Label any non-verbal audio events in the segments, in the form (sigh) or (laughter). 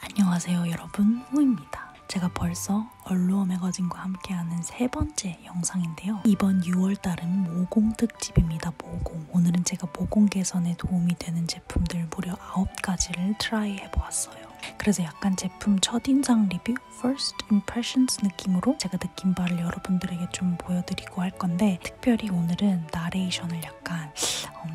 안녕하세요 여러분 호입니다. 제가 벌써 얼루어 매거진과 함께하는 세 번째 영상인데요. 이번 6월달은 모공 특집입니다. 모공. 오늘은 제가 모공 개선에 도움이 되는 제품들 무려 9가지를 트라이 해보았어요. 그래서 약간 제품 첫인상 리뷰, first impressions 느낌으로 제가 느낀 바를 여러분들에게 좀 보여드리고 할 건데 특별히 오늘은 나레이션을 약간 약간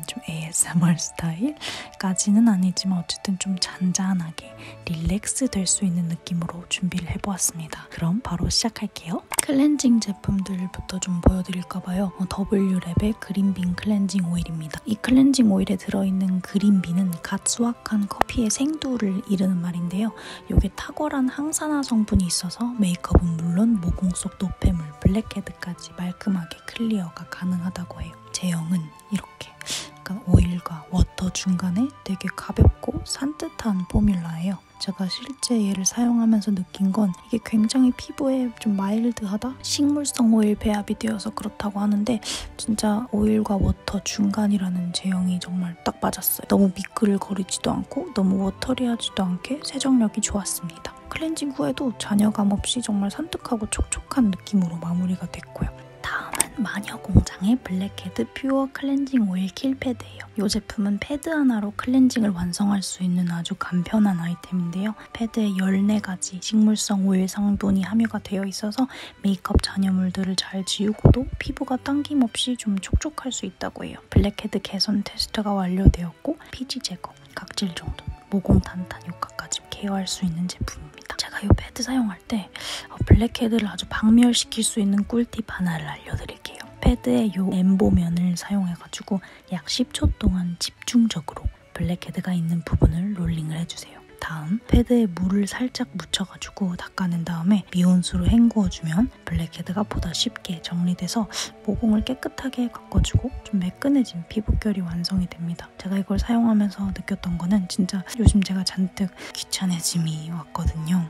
좀 ASMR 스타일까지는 아니지만 어쨌든 좀 잔잔하게 릴렉스 될 수 있는 느낌으로 준비를 해보았습니다. 그럼 바로 시작할게요. 클렌징 제품들부터 좀 보여드릴까봐요. 어, W랩의 그린빈 클렌징 오일입니다. 이 클렌징 오일에 들어있는 그린빈은 갓 수확한 커피의 생두를 이르는 말인데요. 이게 탁월한 항산화 성분이 있어서 메이크업은 물론 모공 속 노폐물, 블랙헤드까지 말끔하게 간편하게 클리어가 가능하다고 해요. 제형은 이렇게 약간 그러니까 오일과 워터 중간에 되게 가볍고 산뜻한 포뮬라예요. 제가 실제 얘를 사용하면서 느낀 건 이게 굉장히 피부에 좀 마일드하다? 식물성 오일 배합이 되어서 그렇다고 하는데 진짜 오일과 워터 중간이라는 제형이 정말 딱 맞았어요. 너무 미끌거리지도 않고 너무 워터리하지도 않게 세정력이 좋았습니다. 클렌징 후에도 잔여감 없이 정말 산뜻하고 촉촉한 느낌으로 마무리가 됐고요. 다음은 마녀공장의 블랙헤드 퓨어 클렌징 오일 킬 패드예요. 이 제품은 패드 하나로 클렌징을 완성할 수 있는 아주 간편한 아이템인데요. 패드에 14가지 식물성 오일 성분이 함유가 되어 있어서 메이크업 잔여물들을 잘 지우고도 피부가 당김없이 좀 촉촉할 수 있다고 해요. 블랙헤드 개선 테스트가 완료되어 제거제였고 피지 제거, 각질 정돈, 모공 단단 효과까지 케어할 수 있는 제품입니다. 제가 이 패드 사용할 때 어, 블랙헤드를 아주 박멸시킬 수 있는 꿀팁 하나를 알려드릴게요. 패드의 이 엠보면을 사용해가지고 약 10초 동안 집중적으로 블랙헤드가 있는 부분을 롤링을 해주세요. 다음 패드에 물을 살짝 묻혀가지고 닦아낸 다음에 미온수로 헹구어주면 블랙헤드가 보다 쉽게 정리돼서 모공을 깨끗하게 가꿔주고 좀 매끈해진 피부결이 완성이 됩니다. 제가 이걸 사용하면서 느꼈던 거는 진짜 요즘 제가 잔뜩 귀찮아짐이 왔거든요.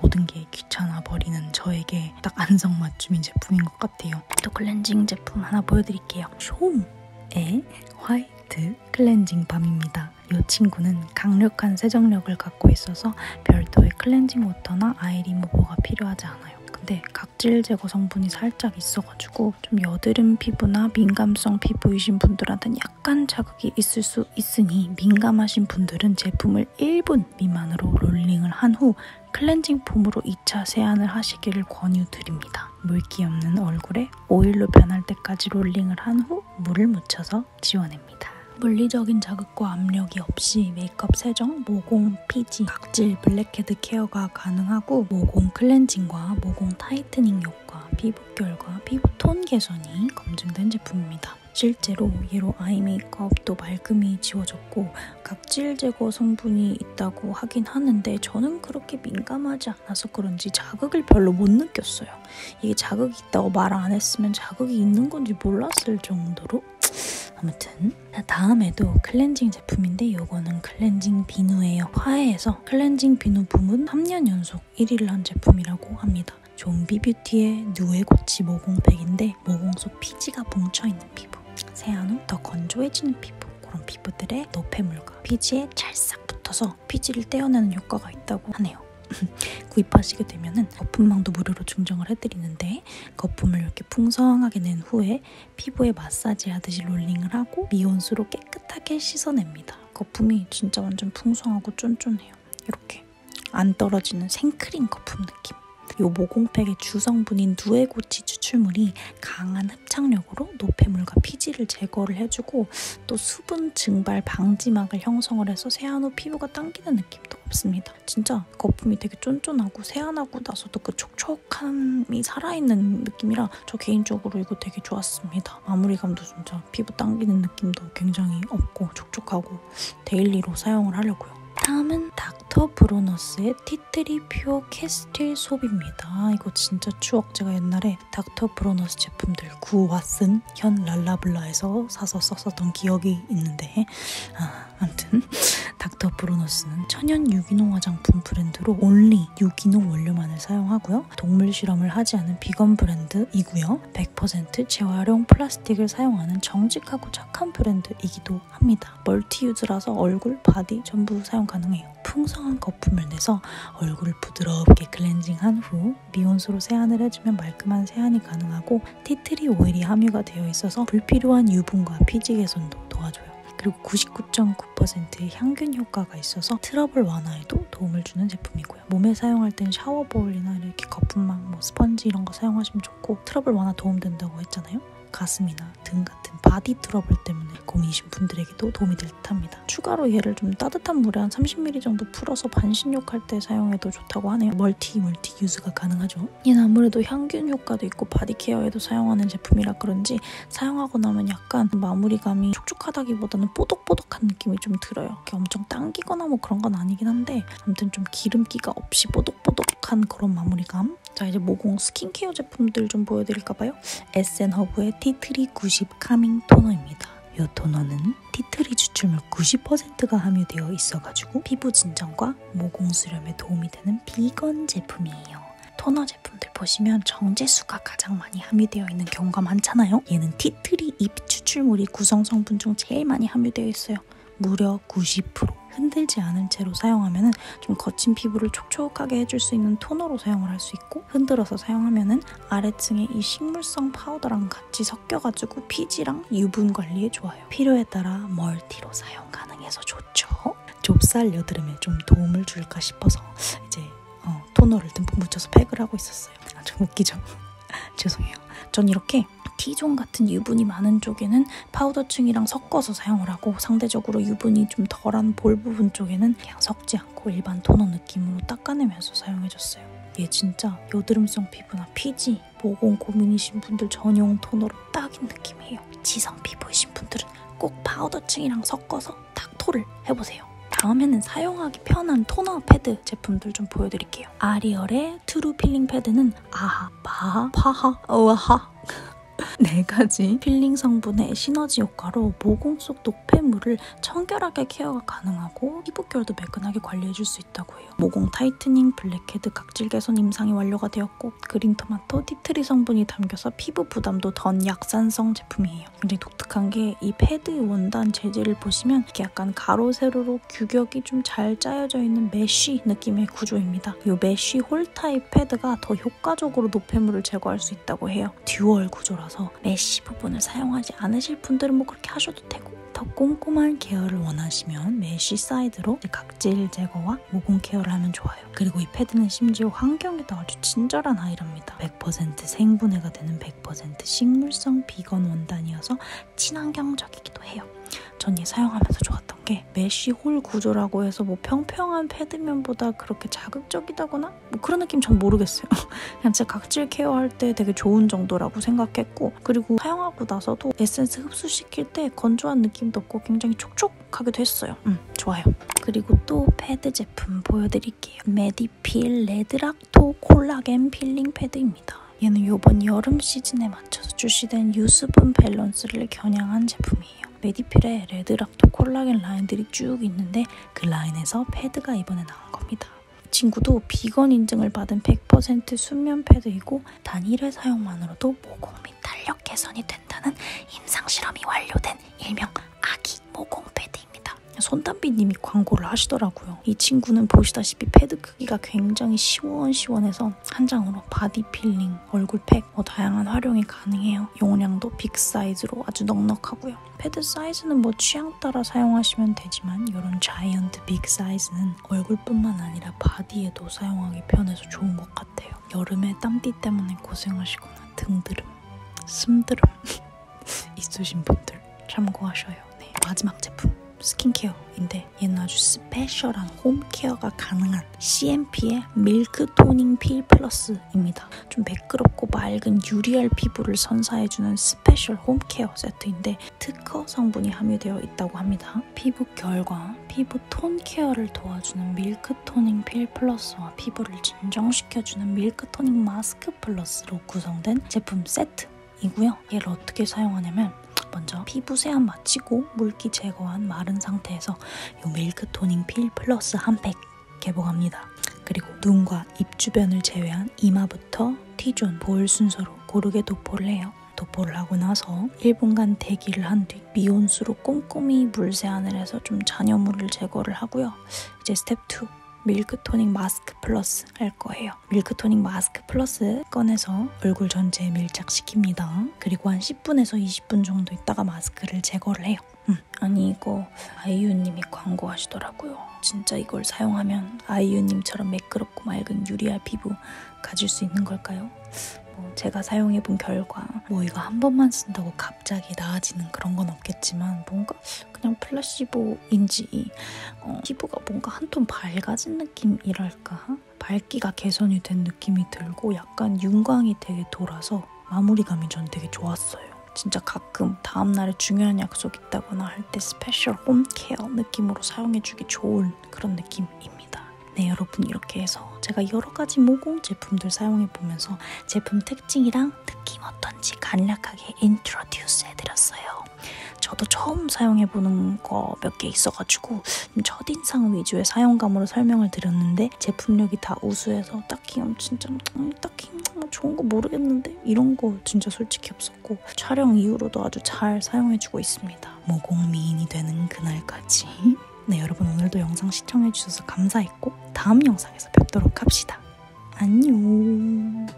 모든 게 귀찮아 버리는 저에게 딱 안성맞춤인 제품인 것 같아요. 또 클렌징 제품 하나 보여드릴게요. 쇼움의 화이트 클렌징 밤입니다. 이 친구는 강력한 세정력을 갖고 있어서 별도의 클렌징 워터나 아이리무버가 필요하지 않아요. 않아요. 근데 각질 제거 성분이 살짝 있어가지고 좀 여드름 피부나 민감성 피부이신 분들한테는 약간 자극이 있을 수 있으니 민감하신 분들은 제품을 1분 미만으로 롤링을 한 후 클렌징 폼으로 2차 세안을 하시기를 권유드립니다. 물기 없는 얼굴에 오일로 변할 때까지 롤링을 한 후 물을 묻혀서 지워냅니다. 물리적인 자극 자극과 압력이 없이 메이크업 세정, 모공, 피지, 각질, 블랙헤드 케어가 가능하고 모공 클렌징과 모공 타이트닝 효과, 피부 결과, 피부 톤 개선이 검증된 제품입니다. 실제로 얘로 아이 메이크업도 말끔히 지워졌고 각질 제거 성분이 있다고 하긴 하는데 저는 그렇게 민감하지 않아서 그런지 자극을 별로 못 느꼈어요. 이게 자극이 있다고 말 안 했으면 자극이 있는 건지 몰랐을 정도로 아무튼 제품 음? 다음에도 클렌징 제품인데 이거는 클렌징 비누예요 화해에서 클렌징 비누 부문 3년 연속 1위를 한 제품이라고 합니다 좀비 뷰티의 누에고치 모공팩인데 모공속 피지가 뭉쳐있는 피부 세안 후 더 건조해지는 피부 그런 피부들의 노폐물과 피지에 찰싹 붙어서 피지를 떼어내는 효과가 있다고 하네요 (laughs) 구입하시게 되면 은 거품망도 무료로 증정을 해드리는데 다음에 거품을 이렇게 풍성하게 낸 후에 피부에 마사지 하듯이 롤링을 하고 미온수로 깨끗하게 씻어냅니다. 거품이 진짜 완전 풍성하고 쫀쫀해요. 이렇게 안 떨어지는 생크림 거품 느낌. 이 모공팩의 주성분인 누에고치 추출물이 강한 흡착력으로 노폐물과 피지를 제거를 해주고 또 수분 증발 방지막을 형성을 해서 세안 후 피부가 당기는 느낌도 없습니다. 같아. 진짜 거품이 되게 쫀쫀하고 세안하고 나서도 그 촉촉함이 살아있는 느낌이라 저 개인적으로 이거 되게 좋았습니다. 마무리감도 진짜 피부 당기는 느낌도 굉장히 없고 촉촉하고 데일리로 사용을 하려고요. 다음은 닥터 브로너스의 티트리 퓨어 캐스틸 솝입니다. 이거 진짜 추억 제가 옛날에 닥터 브로너스 제품들 구와 쓴현 랄라블라에서 사서 썼었던 기억이 있는데 아, 아무튼 닥터 브로노스는 천연 유기농 화장품 브랜드로 온리 유기농 원료만을 사용하고요. 동물 실험을 하지 않은 비건 브랜드이고요. 100% 재활용 플라스틱을 사용하는 정직하고 착한 브랜드이기도 합니다. 멀티 유즈라서 얼굴, 바디 전부 사용 가능해요. 풍성한 거품을 내서 얼굴을 부드럽게 클렌징한 후 미온수로 세안을 해주면 말끔한 세안이 가능하고 티트리 오일이 함유가 되어 있어서 불필요한 유분과 피지 개선도 도와줘요. 그리고 99.9%의 향균 효과가 있어서 트러블 완화에도 도움을 주는 제품이고요. 몸에 사용할 땐 샤워 볼이나 이렇게 거품망, 뭐 스펀지 이런 거 사용하시면 좋고 트러블 완화 도움된다고 했잖아요. 가슴이나 등 같은 바디 트러블 때문에 고민이신 분들에게도 도움이 될 듯합니다. 추가로 얘를 좀 따뜻한 물에 한 30ml 정도 정도 풀어서 반신욕할 때 사용해도 좋다고 하네요. 멀티 멀티 유즈가 가능하죠. 얘는 아무래도 향균 효과도 있고 바디케어에도 사용하는 제품이라 그런지 사용하고 나면 약간 마무리감이 촉촉하다기보다는 뽀득뽀득한 느낌이 좀 들어요. 이렇게 엄청 당기거나 뭐 그런 건 아니긴 한데 아무튼 좀 기름기가 없이 뽀득뽀득한 그런 마무리감. 자 이제 모공 스킨케어 제품들 좀 보여드릴까봐요. 에센허브의 티트리 90 카밍 토너입니다. 이 토너는 경우에는 티트리 추출물 90%가 함유되어 있어가지고 피부 진정과 모공 수렴에 도움이 되는 비건 제품이에요. 토너 제품들 보시면 정제수가 가장 많이 함유되어 있는 경우가 많잖아요. 얘는 티트리 잎 추출물이 구성 성분 중 제일 많이 함유되어 있어요. 무려 90% 흔들지 않은 채로 사용하면 좀 거친 피부를 촉촉하게 해줄 수 있는 토너로 사용을 할 수 있고 흔들어서 사용하면 아래층에 이 식물성 파우더랑 같이 섞여가지고 피지랑 유분 관리에 좋아요. 필요에 따라 멀티로 사용 가능해서 좋죠. 좁쌀 여드름에 좀 도움을 줄까 싶어서 이제 어, 토너를 듬뿍 묻혀서 팩을 하고 있었어요. 아주 웃기죠? (laughs) 죄송해요. 전 이렇게 T존 같은 유분이 많은 쪽에는 파우더층이랑 섞어서 사용을 하고 상대적으로 유분이 좀 덜한 볼 부분 쪽에는 그냥 섞지 않고 일반 토너 느낌으로 닦아내면서 사용해줬어요. 얘 진짜 여드름성 피부나 피부나 피지, 모공 고민이신 분들 전용 토너로 딱인 느낌이에요. 지성 피부이신 분들은 꼭 파우더층이랑 섞어서 딱 토를 해보세요. 다음에는 사용하기 편한 토너 패드 제품들 좀 보여드릴게요. 아리얼의 트루 필링 패드는 아하, 바하, 파하, 어하 (laughs) 네 가지 필링 성분의 시너지 효과로 모공 속 노폐물을 청결하게 케어가 가능하고 피부결도 매끈하게 관리해줄 수 있다고 해요. 모공 타이트닝, 블랙헤드, 각질 개선 임상이 완료가 되었고 그린 토마토, 티트리 성분이 담겨서 피부 부담도 던 약산성 제품이에요. 굉장히 독특한 게 이 패드 원단 재질을 보시면 이렇게 약간 가로 세로로 규격이 좀 잘 짜여져 있는 메쉬 느낌의 구조입니다. 이 메쉬 홀 타입 패드가 더 효과적으로 노폐물을 제거할 수 있다고 해요. 듀얼 구조라서 뭐 메쉬 부분을 사용하지 않으실 분들은 뭐 그렇게 하셔도 되고 더 꼼꼼한 케어를 원하시면 메쉬 사이드로 각질 제거와 모공 케어를 하면 좋아요. 그리고 이 패드는 심지어 환경에도 아주 친절한 아이랍니다. 100% 생분해가 되는 100% 식물성 비건 원단이어서 친환경적이기도 해요. 전얘 사용하면서 좋았던 게 메쉬 홀 구조라고 해서 뭐 평평한 패드면보다 그렇게 자극적이다거나 뭐 그런 느낌 전 모르겠어요. (laughs) 그냥 진짜 각질 케어할 때 되게 좋은 정도라고 생각했고 그리고 사용하고 나서도 에센스 흡수시킬 때 건조한 느낌도 없고 굉장히 촉촉하게 됐어요. 음, 좋아요. 그리고 또 패드 제품 보여드릴게요. 메디필 레드락토 콜라겐 필링 패드입니다. 얘는 이번 여름 시즌에 맞춰서 출시된 유수분 밸런스를 겨냥한 제품이에요. 메디필의 레드락토 콜라겐 라인들이 쭉 있는데 그 라인에서 패드가 이번에 나온 겁니다. 친구도 비건 인증을 받은 100% 순면 패드이고 단일회 사용만으로도 모공 및 탄력 개선이 된다는 임상 실험이 완료된 일명 아기 모공 패드입니다. 손담비님이 광고를 하시더라고요. 이 친구는 보시다시피 패드 크기가 굉장히 시원시원해서 한 장으로 바디 필링, 얼굴 팩, 뭐 다양한 활용이 가능해요. 용량도 빅 사이즈로 아주 넉넉하고요. 패드 사이즈는 뭐 취향 따라 사용하시면 되지만 이런 자이언트 빅 사이즈는 얼굴뿐만 아니라 바디에도 사용하기 편해서 좋은 것 같아요. 여름에 땀띠 때문에 고생하시거나 등드름, 숨드름 (laughs) 있으신 분들 참고하셔요. 네, 마지막 제품 스킨케어인데 얘는 아주 스페셜한 홈케어가 가능한 CMP의 밀크 토닝 필 플러스입니다. 좀 매끄럽고 맑은 유리알 피부를 선사해주는 스페셜 홈케어 세트인데 특허 성분이 함유되어 있다고 합니다. 피부 결과, 피부 톤 케어를 도와주는 밀크 토닝 필 플러스와 피부를 진정시켜주는 밀크 토닝 마스크 플러스로 구성된 제품 세트이고요. 얘를 어떻게 사용하냐면 먼저 피부 세안 마치고 물기 제거한 마른 상태에서 이 밀크 토닝 필 플러스 한팩 개봉합니다. 그리고 눈과 입 주변을 제외한 이마부터 T존, 볼 순서로 고르게 도포를 해요. 도포를 하고 나서 1분간 대기를 한 뒤 미온수로 꼼꼼히 물 세안을 해서 좀 잔여물을 제거를 하고요. 이제 스텝 2. 밀크토닉 마스크 플러스 할 거예요. 밀크토닉 마스크 플러스 꺼내서 얼굴 전체에 밀착시킵니다. 그리고 한 10분에서 20분 정도 있다가 마스크를 제거를 해요. 음, 아니 이거 아이유님이 광고하시더라고요. 진짜 이걸 사용하면 아이유님처럼 매끄럽고 맑은 유리알 피부 가질 수 있는 걸까요? 뭐 제가 사용해본 결과 뭐 이거 한 번만 쓴다고 갑자기 나아지는 그런 건 없겠지만 뭔가 그냥 플라시보인지 어, 피부가 뭔가 한 톤 밝아진 느낌이랄까 밝기가 개선이 된 느낌이 들고 약간 윤광이 되게 돌아서 마무리감이 전 되게 좋았어요. 진짜 가끔 다음날에 중요한 약속 있다거나 할 때 스페셜 홈케어 느낌으로 사용해주기 좋은 그런 느낌입니다. 네 여러분 이렇게 해서 제가 여러가지 모공 제품들 사용해보면서 제품 특징이랑 느낌 어떤지 간략하게 인트로듀스 해드렸어요. 저도 처음 사용해보는 거 몇 개 있어가지고 좀 첫인상 위주의 사용감으로 설명을 드렸는데 근데 제품력이 다 우수해서 딱히 음, 진짜 음, 딱히 음, 뭐 좋은 거 모르겠는데 이런 거 진짜 솔직히 없었고 촬영 이후로도 아주 잘 사용해주고 있습니다. 모공미인이 되는 그날까지 (laughs) 네 여러분 오늘도 영상 시청해주셔서 감사했고 다음 영상에서 뵙도록 합시다. 안녕